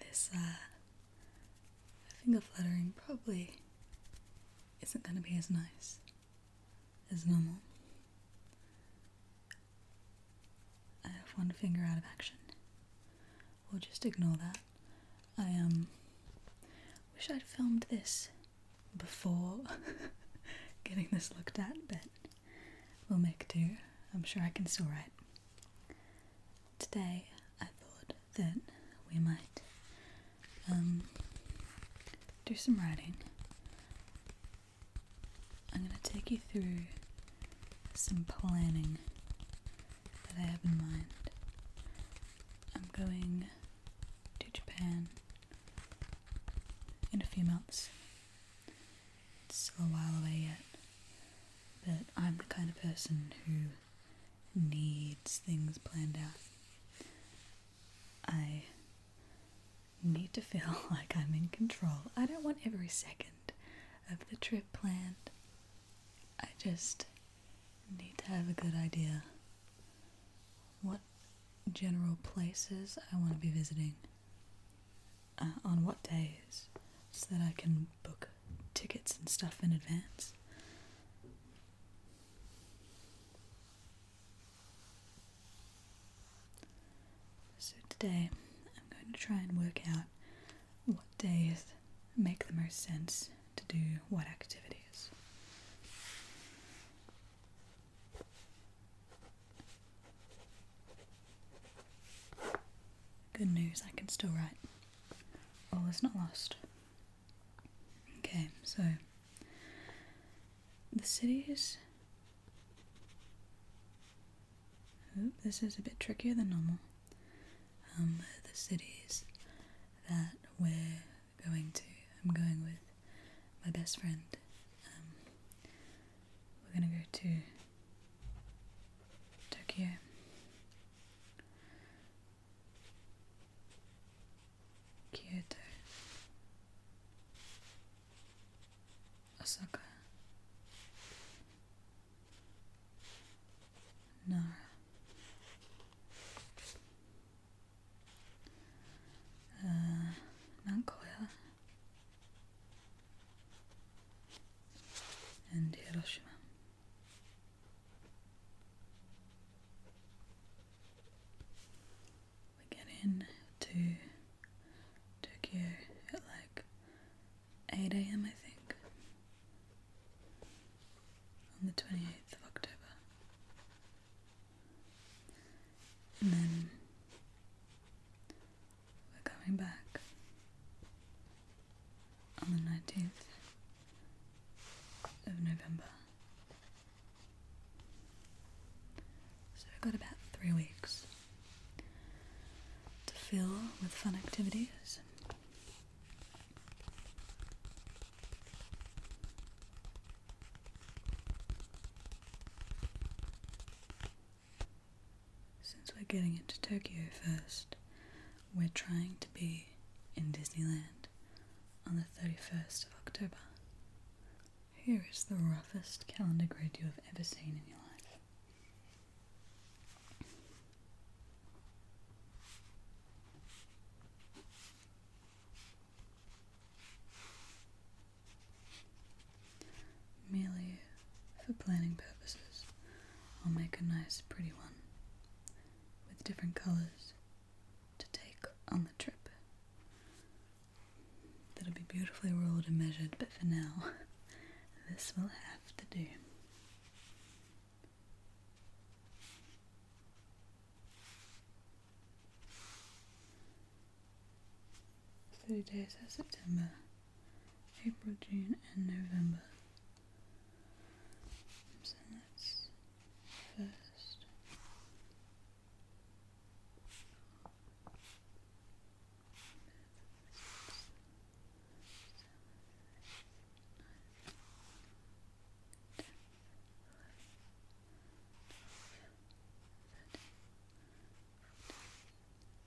This finger uh, fluttering probably isn't going to be as nice as normal. I have one finger out of action. We'll just ignore that. I um wish I'd filmed this before getting this looked at, but We'll make do. I'm sure I can still write. Today I thought that we might um, do some writing. I'm going to take you through some planning that I have in mind. I'm going to Japan in a few months it's still a while away yet, but I'm the kind of person who needs things planned out. I need to feel like I'm in control. I don't want every second of the trip planned. I just need to have a good idea what general places I want to be visiting. Uh, on what days so that I can book tickets and stuff in advance. So today I'm going to try and work out what days make the most sense to do what activities. Good news, I can still write. All oh, is not lost. Okay, so the cities. Oop, this is a bit trickier than normal. Um, the cities that we're going to. I'm going with my best friend. Um, we're gonna go to Tokyo. Kyoto. Osaka. Nara. Uh, and Hiroshima. We get in to Tokyo at like 8 am, I think, on the 28th of October. And then we're going back on the 19th of November. So we've got about three weeks to fill with fun activities. Since we're getting into Tokyo first, we're trying to be in Disneyland on the 31st of October. Here is the roughest calendar grid you have ever seen in your life. Merely for planning purposes, I'll make a nice pretty one with different colours to take on the trip. That'll be beautifully ruled and measured, but for now, this will have to do. 30 days of September, April, June, and November. So that's first. Eleven, twelve, thirteen, fourteen, fifteen, sixteen, seventeen, eighteen, nineteen, twenty, twenty-one, twenty-two, twenty-three, twenty-four, twenty-five, twenty-six, twenty-seven, twenty-eight, twenty-nine, thirty, thirty-one, thirty-two, thirty-three, thirty-four, thirty-five, thirty-six, thirty-seven, thirty-eight, thirty-nine, forty, forty-one,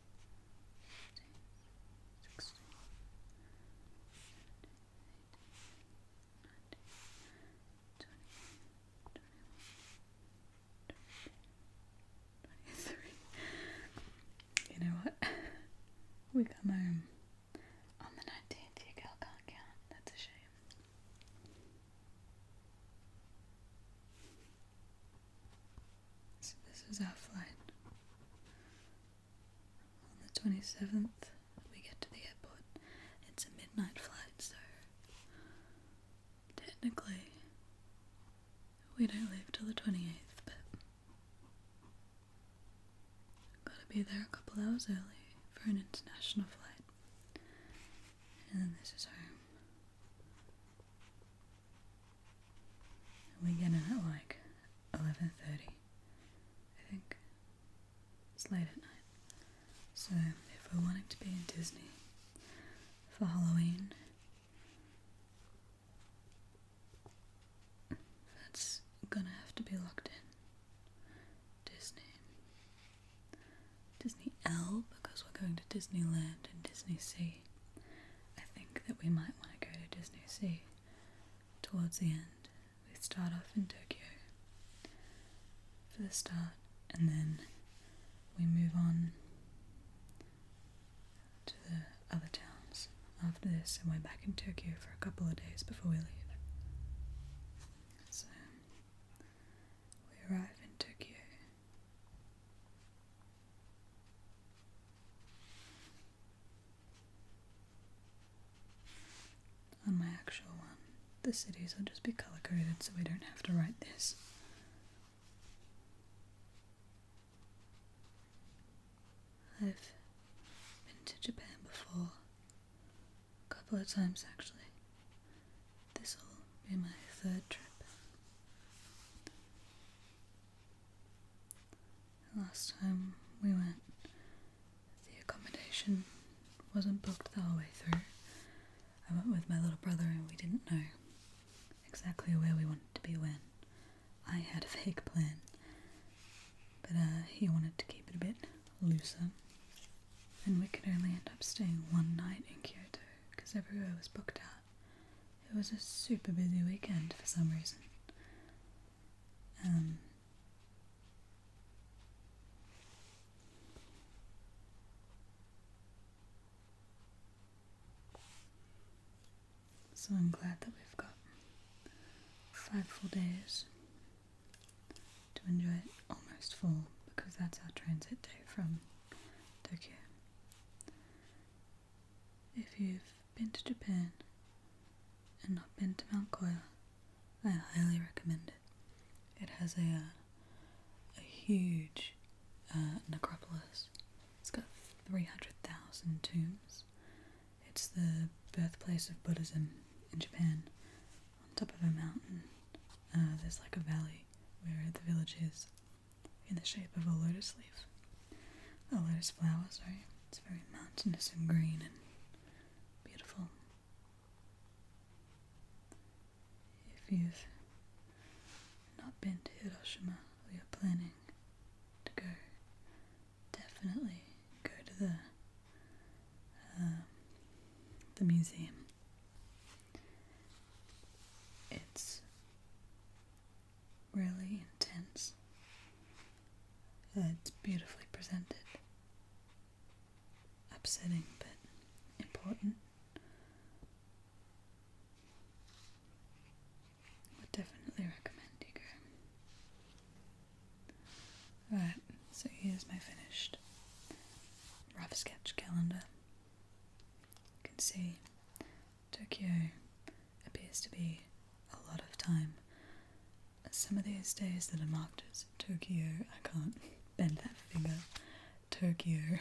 you know what? we come home on the 19th. Your girl can't count. That's a shame. So this is our flight. On the 27th, we get to the airport. It's a midnight flight, so technically we don't leave till the 28th, but gotta be there a couple hours early for an international flight. And then this is home. We get in at like 11.30, I think. It's late at night. So if we're wanting to be in Disney for Halloween, that's gonna have to be locked in. Disney. Disney L because we're going to Disneyland and Disney Sea. I think that we might want to go to Disney Sea towards the end. We start off in Tokyo for the start, and then we move on to the other towns after this, we're back in Tokyo for a couple of days before we leave. So we arrive in Tokyo on my actual one, um, the cities will just be color coded so we don't have to write this. I've been to Japan before, a couple of times actually. This will be my third trip. Last time we went, the accommodation wasn't booked the whole way through. I went with my little brother and we didn't know exactly where we wanted to be when. I had a vague plan, but uh, he wanted to keep it a bit looser, and we could only end up staying one night in Kyoto because everywhere was booked out it was a super busy weekend for some reason. Um, so I'm glad that we've got five full days to enjoy it almost full because that's our transit day from Tokyo. If you've been to Japan and not been to Mount Koya, I highly recommend it. It has a uh, huge uh, necropolis. It's got 300,000 tombs. It's the birthplace of Buddhism in Japan. On top of a mountain, uh, there's like a valley where the village is, in the shape of a lotus leaf. A lotus flower, sorry. It's very mountainous and green and beautiful. If you've not been to Hiroshima or you're planning to go, definitely go to the um, the museum. It's really intense. Uh, it's beautifully presented. Upsetting, but important. Would definitely recommend Digger. Alright, so here's my finished rough sketch calendar. You can see Tokyo appears to be a lot of time. Some of these days that are marked as Tokyo, I can't bend that finger, Tokyo,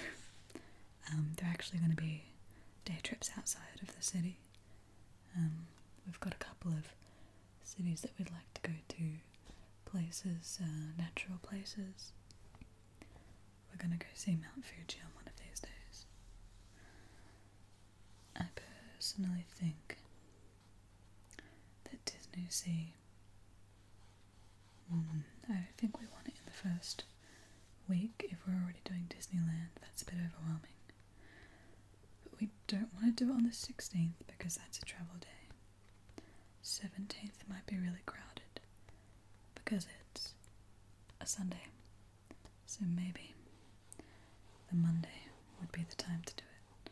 um, they're actually going to be day trips outside of the city. Um, we've got a couple of cities that we'd like to go to, places, uh, natural places. We're going to go see Mount Fuji on one of these days. I personally think that Disney Sea. I don't think we want it in the first week if we're already doing Disneyland. That's a bit overwhelming. But we don't want to do it on the 16th because that's a travel day. 17th might be really crowded because it's a Sunday. So maybe the Monday would be the time to do it.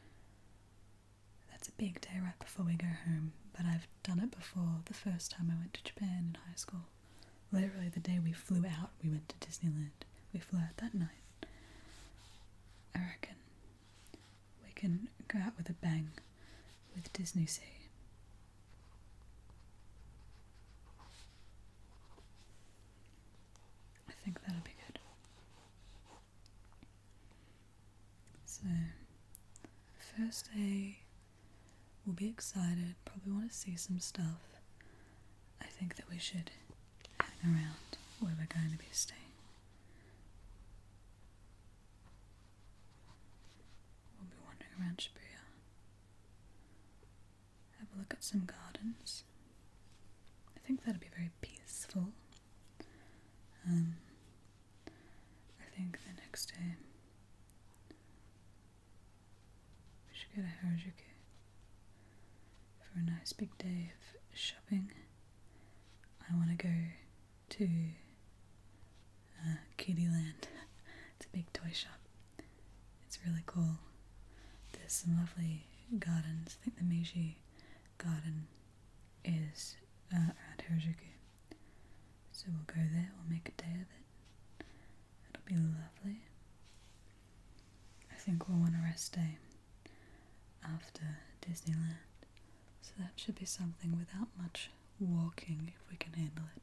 That's a big day right before we go home, but I've done it before the first time I went to Japan in high school. Literally, the day we flew out, we went to Disneyland. We flew out that night. I reckon we can go out with a bang with Disney Sea. I think that'll be good. So, first day, we'll be excited, probably want to see some stuff. I think that we should hang around where we're going to be staying. We'll be wandering around Shibuya have a look at some gardens. I think that'll be very peaceful. Um, I think the next day we should go to Harajuku for a nice big day of shopping. I want to go to uh, it's a big toy shop it's really cool. There's some lovely gardens. I think the Meiji garden is uh, around Harajuku. So we'll go there, we'll make a day of it. It'll be lovely. I think we'll want a rest day after Disneyland. So that should be something without much walking if we can handle it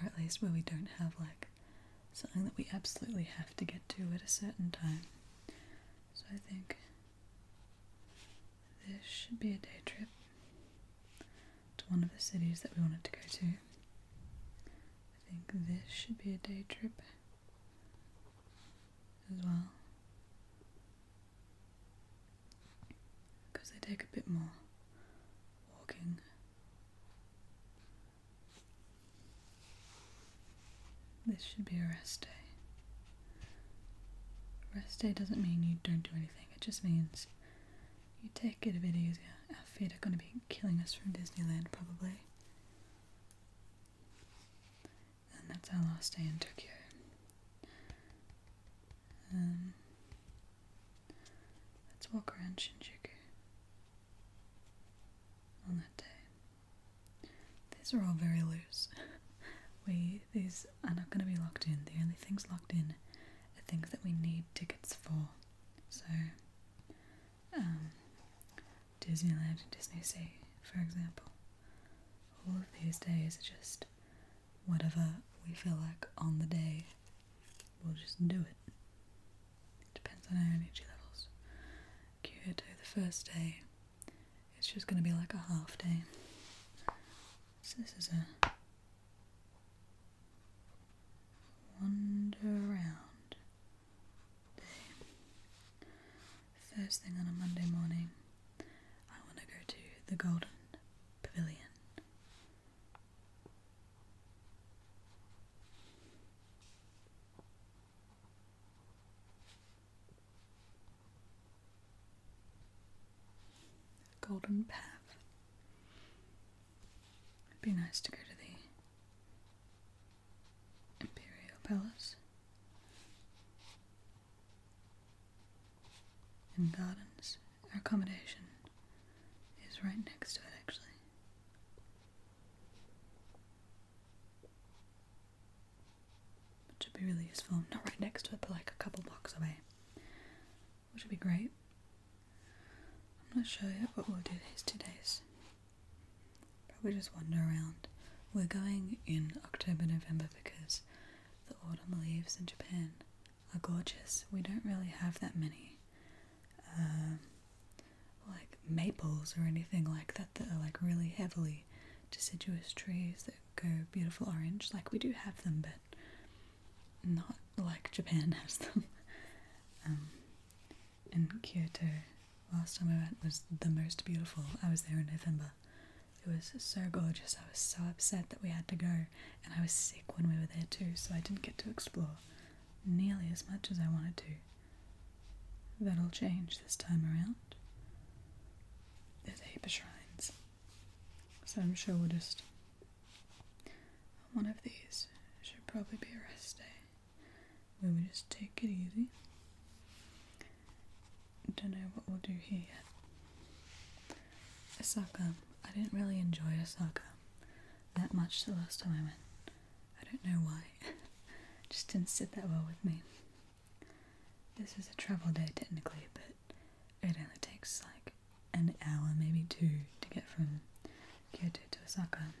or at least where we don't have like something that we absolutely have to get to at a certain time. So I think this should be a day trip to one of the cities that we wanted to go to. I think this should be a day trip as well. Because they take a bit more walking. This should be a rest day. Rest day doesn't mean you don't do anything, it just means you take it a bit easier. Our feet are going to be killing us from Disneyland, probably. And that's our last day in Tokyo. Um, Let's walk around Shinjuku on that day. These are all very loose. we these are not going to be locked in. The only things locked in are things that we need tickets for. So, um, Disneyland and Disney Sea, for example. All of these days are just whatever we feel like on the day. We'll just do it. It depends on our energy levels. Kyoto, the first day, it's just going to be like a half day. So this is a wander around day. First thing on a Monday morning, I want to go to the Golden Pavilion. Golden Path. It'd be nice to go to the Imperial Palace and gardens. Our accommodation is right next to it, actually. Which would be really useful. Not right next to it, but like a couple blocks away. Which would be great. I'm not sure yet what we'll do these two days. Probably just wander around. We're going in October, November because the autumn leaves in Japan are gorgeous. We don't really have that many um, like maples or anything like that that are like really heavily deciduous trees that go beautiful orange. Like we do have them, but not like Japan has them. Um, in Kyoto, last time I went was the most beautiful. I was there in November. It was so gorgeous. I was so upset that we had to go, and I was sick when we were there too, so I didn't get to explore nearly as much as I wanted to. That'll change this time around. There's Aper Shrines. So I'm sure we'll just. One of these should probably be a rest day. We will just take it easy. Don't know what we'll do here yet. Osaka. I didn't really enjoy Osaka that much the last time I went. I don't know why. it just didn't sit that well with me. This is a travel day technically, but it only takes like an hour, maybe two, to get from Kyoto to Osaka.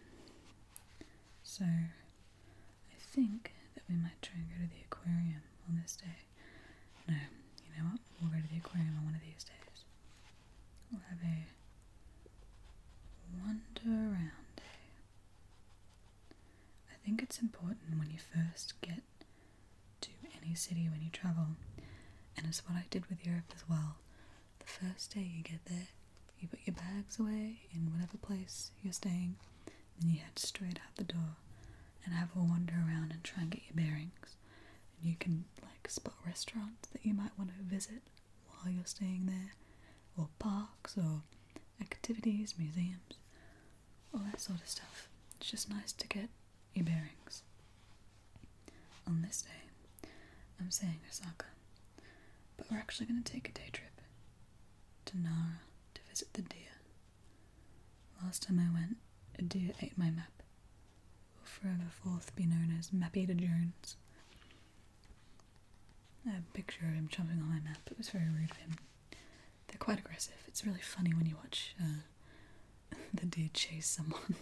So I think that we might try and go to the aquarium on this day. No, you know what? We'll go to the aquarium on one of these days have a wander around I think it's important when you first get to any city when you travel, and it's what I did with Europe as well. The first day you get there, you put your bags away in whatever place you're staying, and you head straight out the door and have a wander around and try and get your bearings. And you can like spot restaurants that you might want to visit while you're staying there, or parks, or activities, museums, all that sort of stuff. It's just nice to get your bearings. On this day, I'm staying Osaka, but we're actually going to take a day trip to Nara to visit the deer. Last time I went, a deer ate my map. Will forever be known as Map Eater Jones a picture of him jumping on my map. It was very rude of him. They're quite aggressive. It's really funny when you watch uh, the deer chase someone.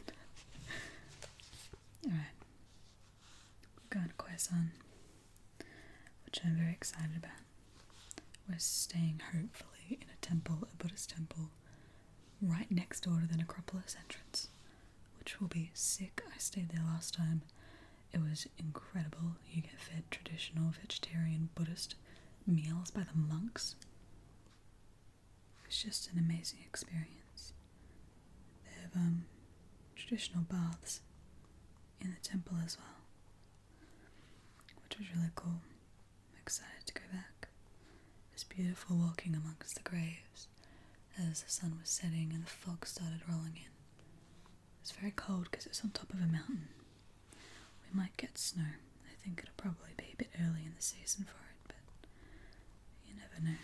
Alright. Going to Quezon, which I'm very excited about. We're staying, hopefully, in a temple, a Buddhist temple, right next door to the necropolis entrance which will be sick. I stayed there last time. It was incredible. You get fed traditional vegetarian Buddhist meals by the monks. It's just an amazing experience. They have um, traditional baths in the temple as well, which was really cool. I'm excited to go back. It's beautiful walking amongst the graves as the sun was setting and the fog started rolling in. it's very cold because it's on top of a mountain. We might get snow. I think it'll probably be a bit early in the season for it, but you never know.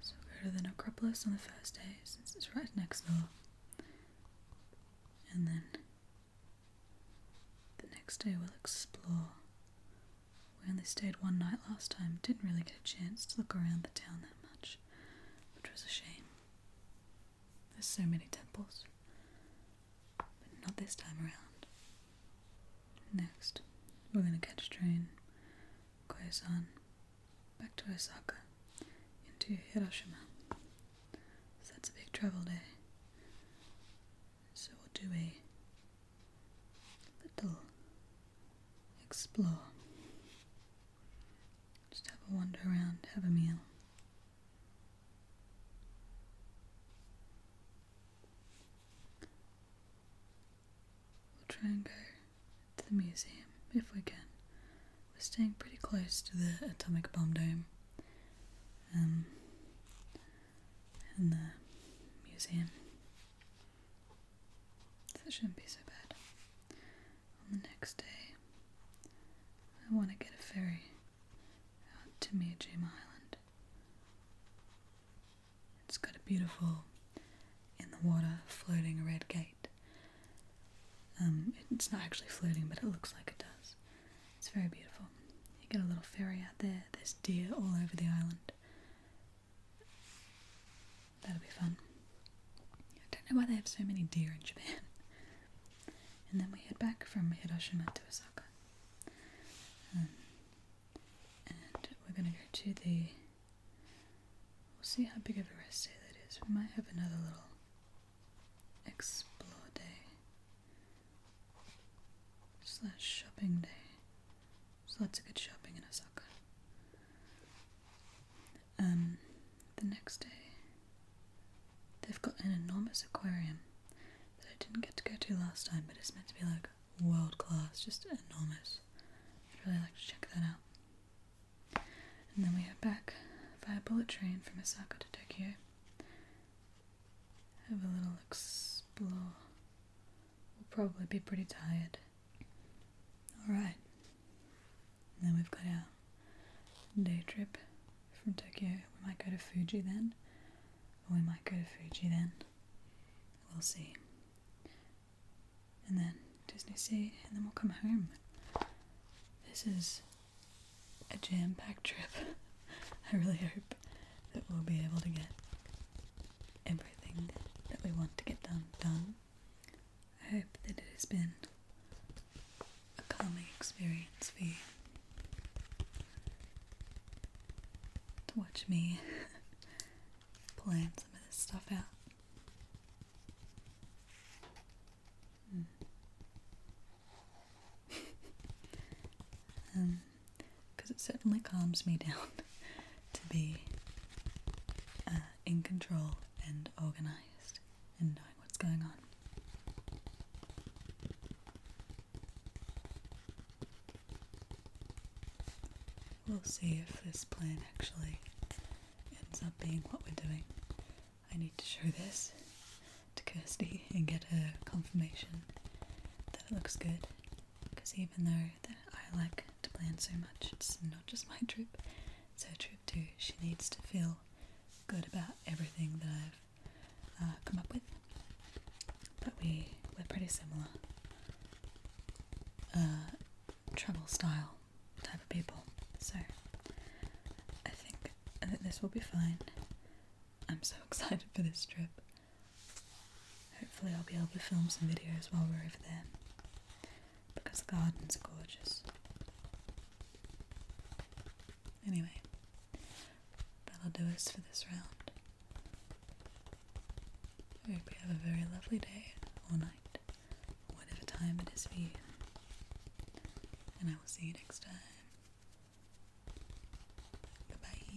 So we'll go to the necropolis on the first day since it's right next door. And then the next day we'll explore we only stayed one night last time, didn't really get a chance to look around the town that much, which was a shame. There's so many temples, but not this time around. Next, we're gonna catch a train, Koyosan, back to Osaka, into Hiroshima. So that's a big travel day. So we'll do a little explore. Just have a wander around, have a meal. We'll try and go to the museum if we can. We're staying pretty close to the atomic bomb dome. Um, and the museum. That shouldn't be so bad. On the next day, I want to get a ferry out to Miyajima Island. It's got a beautiful in the water floating red gate. Um, it's not actually floating, but it looks like it does. It's very beautiful. You get a little ferry out there, there's deer all over the island. That'll be fun. I don't know why they have so many deer in Japan. And then we head back from Hiroshima to Osaka. Um, and we're going to go to the... We'll see how big of a rest day that is. We might have another little explore day slash shopping day there's lots of good shopping in Osaka. Um, the next day, they've got an enormous aquarium that I didn't get to go to last time, but it's meant to be like world class, just enormous. I'd really like to check that out. And then we head back via bullet train from Osaka to Tokyo. Have a little explore we will probably be pretty tired. Alright, then we've got our day trip from Tokyo. We might go to Fuji then, we might go to Fuji then. We'll see. And then Disney Sea, and then we'll come home. This is a jam packed trip. I really hope that we'll be able to get everything that we want to get done done I hope that it has been a calming experience for you to watch me plan some of this stuff out. Hmm. um, because it certainly calms me down to be uh, in control and organized and knowing what's going on. We'll see if this plan actually ends up being what we're doing. I need to show this to Kirsty and get her confirmation that it looks good because even though that I like to plan so much, it's not just my trip, it's her trip too. She needs to feel good about everything that I've uh, come up with. But we, we're pretty similar. Uh, travel style type of people. So I think that this will be fine. I'm so excited for this trip. Hopefully I'll be able to film some videos while we're over there because the gardens are gorgeous. Anyway, that'll do us for this round. I hope you have a very lovely day or night, whatever time it is for you. And I will see you next time. bye.